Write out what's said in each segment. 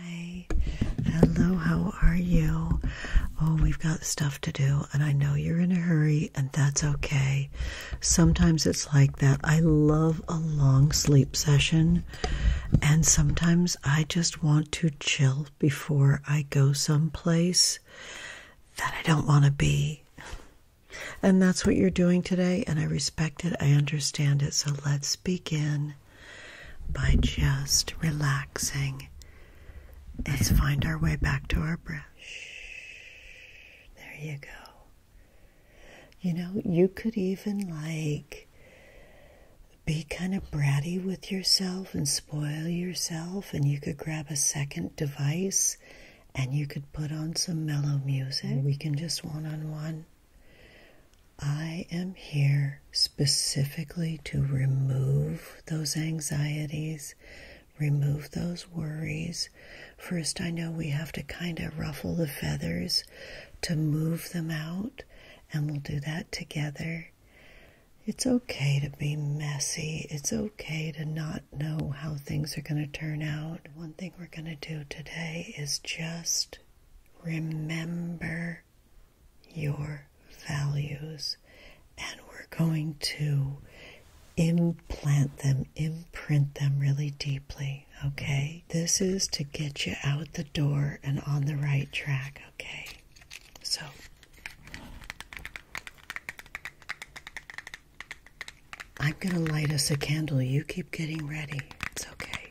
Hi, hello, how are you? Oh, we've got stuff to do, and I know you're in a hurry, and that's okay. Sometimes it's like that. I love a long sleep session, and sometimes I just want to chill before I go someplace that I don't want to be. And that's what you're doing today, and I respect it, I understand it. So let's begin by just relaxing. Let's find our way back to our breath. There you go. You know, you could even like be kind of bratty with yourself and spoil yourself, and you could grab a second device and you could put on some mellow music. We can just one on one I am here specifically to remove those anxieties, remove those worries. First, I know we have to kind of ruffle the feathers to move them out, and we'll do that together. It's okay to be messy. It's okay to not know how things are going to turn out. One thing we're going to do today is just remember your values and we're going to implant them, imprint them really deeply, okay? This is to get you out the door and on the right track, okay? So, I'm going to light us a candle. You keep getting ready. It's okay.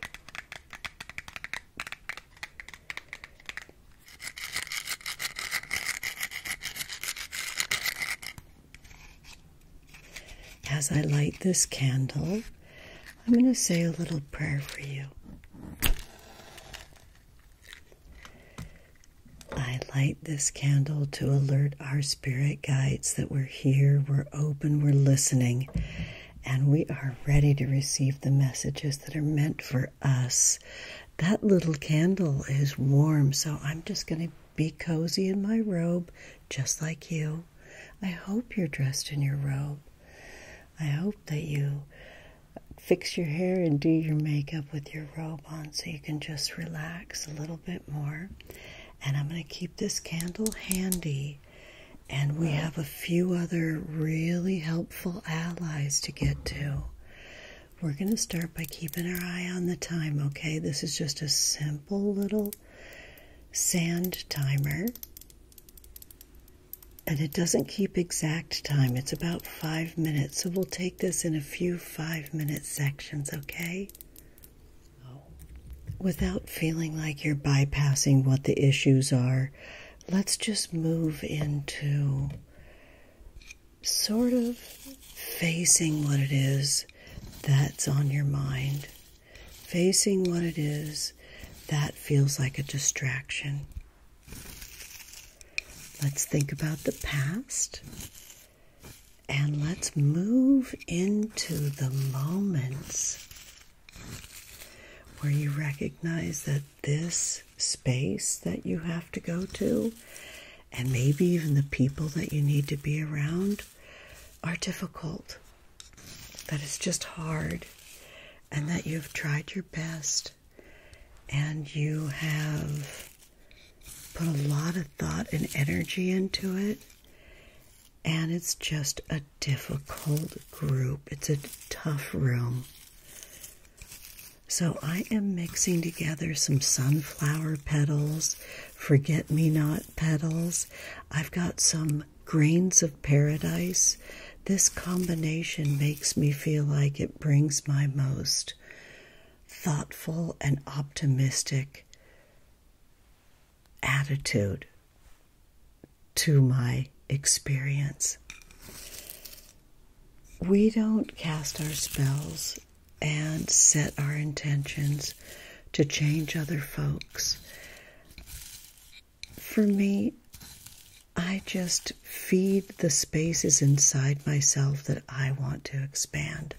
As I light this candle, I'm going to say a little prayer for you. I light this candle to alert our spirit guides that we're here, we're open, we're listening, and we are ready to receive the messages that are meant for us. That little candle is warm, so I'm just going to be cozy in my robe, just like you. I hope you're dressed in your robe. I hope that you fix your hair and do your makeup with your robe on so you can just relax a little bit more. And I'm going to keep this candle handy and we have a few other really helpful allies to get to. We're going to start by keeping our eye on the time, okay? This is just a simple little sand timer. And it doesn't keep exact time, it's about five minutes. So we'll take this in a few five minute sections, okay? without feeling like you're bypassing what the issues are, let's just move into sort of facing what it is that's on your mind, facing what it is that feels like a distraction. Let's think about the past and let's move into the moments where you recognize that this space that you have to go to, and maybe even the people that you need to be around, are difficult, that it's just hard, and that you've tried your best, and you have put a lot of thought and energy into it, and it's just a difficult group. It's a tough room. So I am mixing together some sunflower petals, forget me not petals. I've got some grains of paradise. This combination makes me feel like it brings my most thoughtful and optimistic attitude to my experience. We don't cast our spells and set our intentions to change other folks. For me, I just feed the spaces inside myself that I want to expand.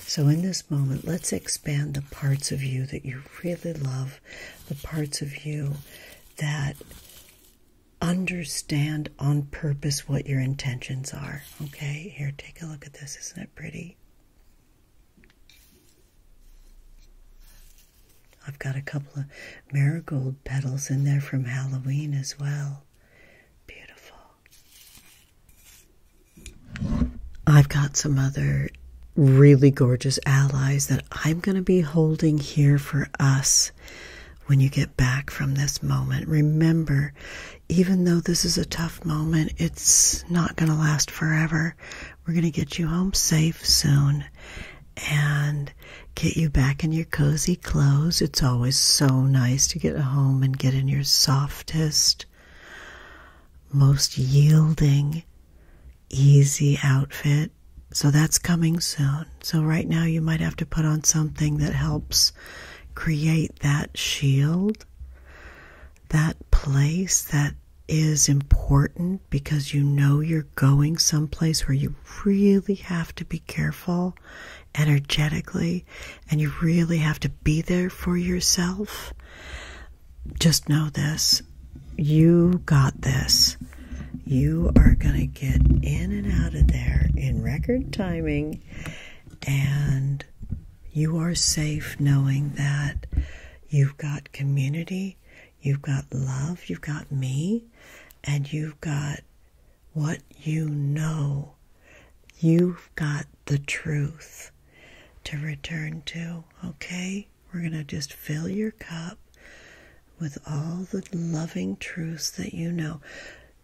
So, in this moment, let's expand the parts of you that you really love the parts of you that understand on purpose what your intentions are. Okay, here, take a look at this. Isn't it pretty? I've got a couple of marigold petals in there from Halloween as well. Beautiful. I've got some other really gorgeous allies that I'm going to be holding here for us when you get back from this moment. Remember, even though this is a tough moment, it's not going to last forever. We're going to get you home safe soon and get you back in your cozy clothes. It's always so nice to get home and get in your softest, most yielding, easy outfit. So that's coming soon. So, right now, you might have to put on something that helps create that shield, that place that is important because you know you're going someplace where you really have to be careful energetically and you really have to be there for yourself just know this you got this. You are going to get in and out of there in record timing, and you are safe knowing that you've got community, you've got love, you've got me, and you've got what you know You've got the truth to return to, okay? We're going to just fill your cup with all the loving truths that you know.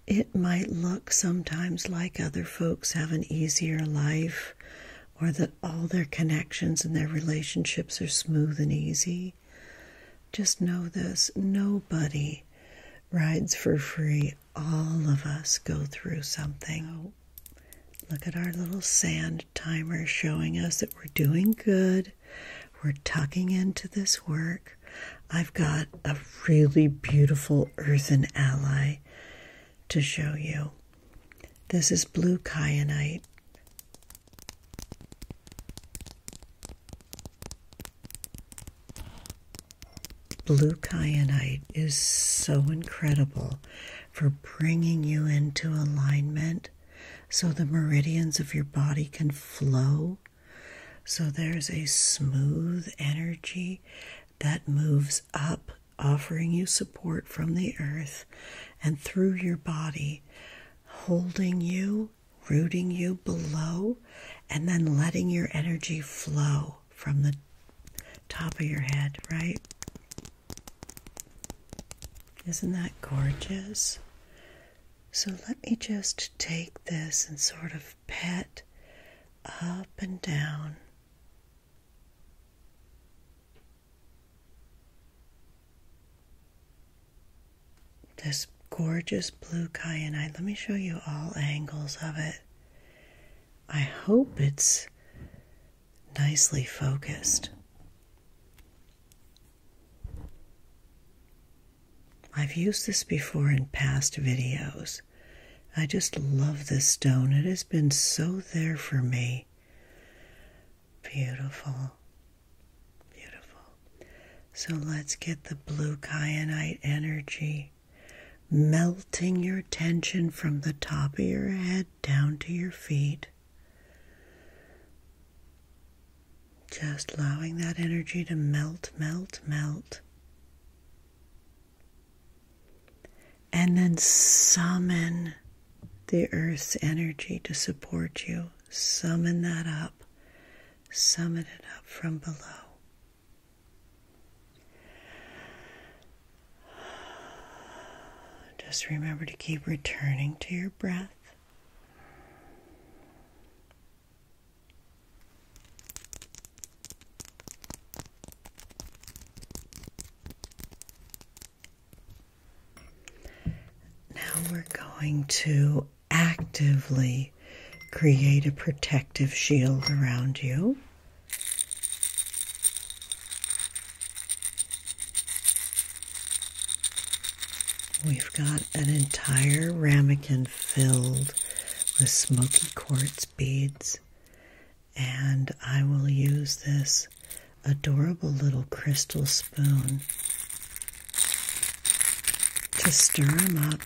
It might look sometimes like other folks have an easier life or that all their connections and their relationships are smooth and easy. Just know this nobody rides for free all of us go through something. Oh. Look at our little sand timer showing us that we're doing good. We're tucking into this work. I've got a really beautiful earthen ally to show you. This is blue kyanite. Blue kyanite is so incredible for bringing you into alignment so the meridians of your body can flow. So there's a smooth energy that moves up, offering you support from the earth and through your body, holding you, rooting you below, and then letting your energy flow from the top of your head, right? Isn't that gorgeous? So let me just take this and sort of pet up and down. This gorgeous blue kyanite. Let me show you all angles of it. I hope it's nicely focused. I've used this before in past videos. I just love this stone. It has been so there for me. Beautiful. Beautiful. So let's get the blue kyanite energy melting your tension from the top of your head down to your feet. Just allowing that energy to melt, melt, melt. And then summon the earth's energy to support you. Summon that up. Summon it up from below. Just remember to keep returning to your breath. Now we're going to actively create a protective shield around you. We've got an entire ramekin filled with smoky quartz beads, and I will use this adorable little crystal spoon to stir them up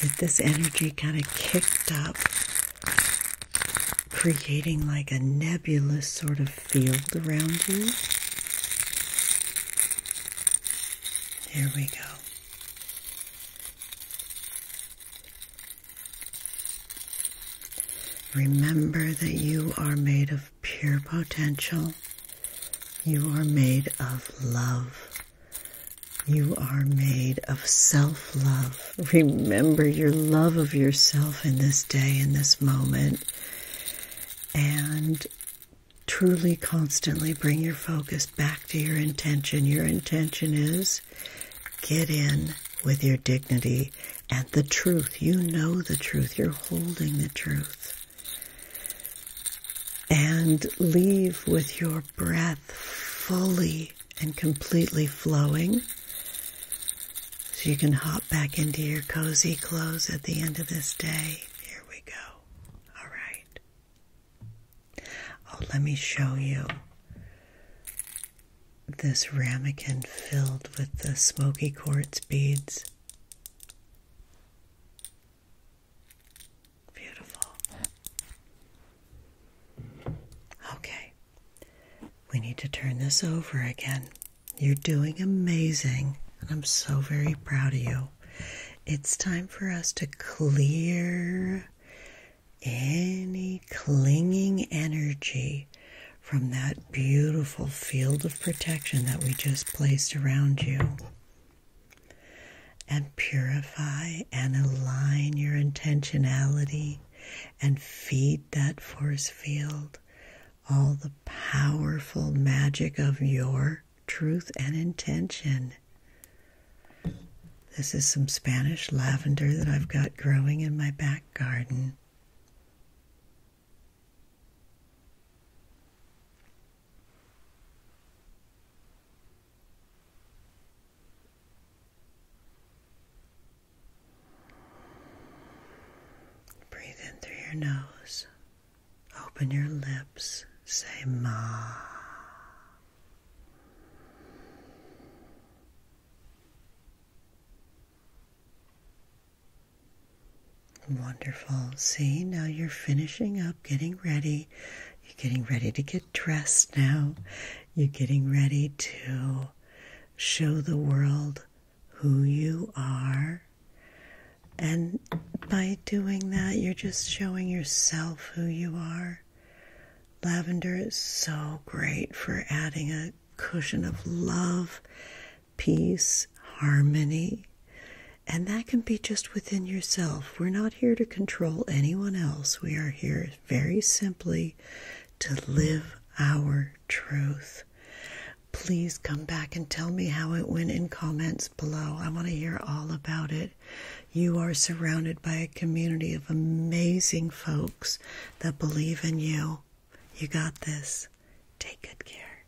get this energy kind of kicked up, creating like a nebulous sort of field around you. Here we go. Remember that you are made of pure potential. You are made of love. You are made of self love. Remember your love of yourself in this day, in this moment, and truly constantly bring your focus back to your intention. Your intention is get in with your dignity and the truth. You know the truth, you're holding the truth and leave with your breath fully and completely flowing. So you can hop back into your cozy clothes at the end of this day. Here we go. All right. Oh, let me show you this ramekin filled with the smoky quartz beads. Beautiful. Okay. We need to turn this over again. You're doing amazing, and I'm so very proud of you. It's time for us to clear any clinging energy from that beautiful field of protection that we just placed around you and purify and align your intentionality and feed that force field all the powerful magic of your truth and intention. This is some Spanish lavender that I've got growing in my back garden. Breathe in through your nose. Open your lips. Say ma. Wonderful. See, now you're finishing up, getting ready you're getting ready to get dressed now. You're getting ready to show the world who you are. And by doing that, you're just showing yourself who you are. Lavender is so great for adding a cushion of love, peace, harmony and that can be just within yourself. We're not here to control anyone else. We are here very simply to live our truth. Please come back and tell me how it went in comments below. I want to hear all about it. You are surrounded by a community of amazing folks that believe in you. You got this. Take good care.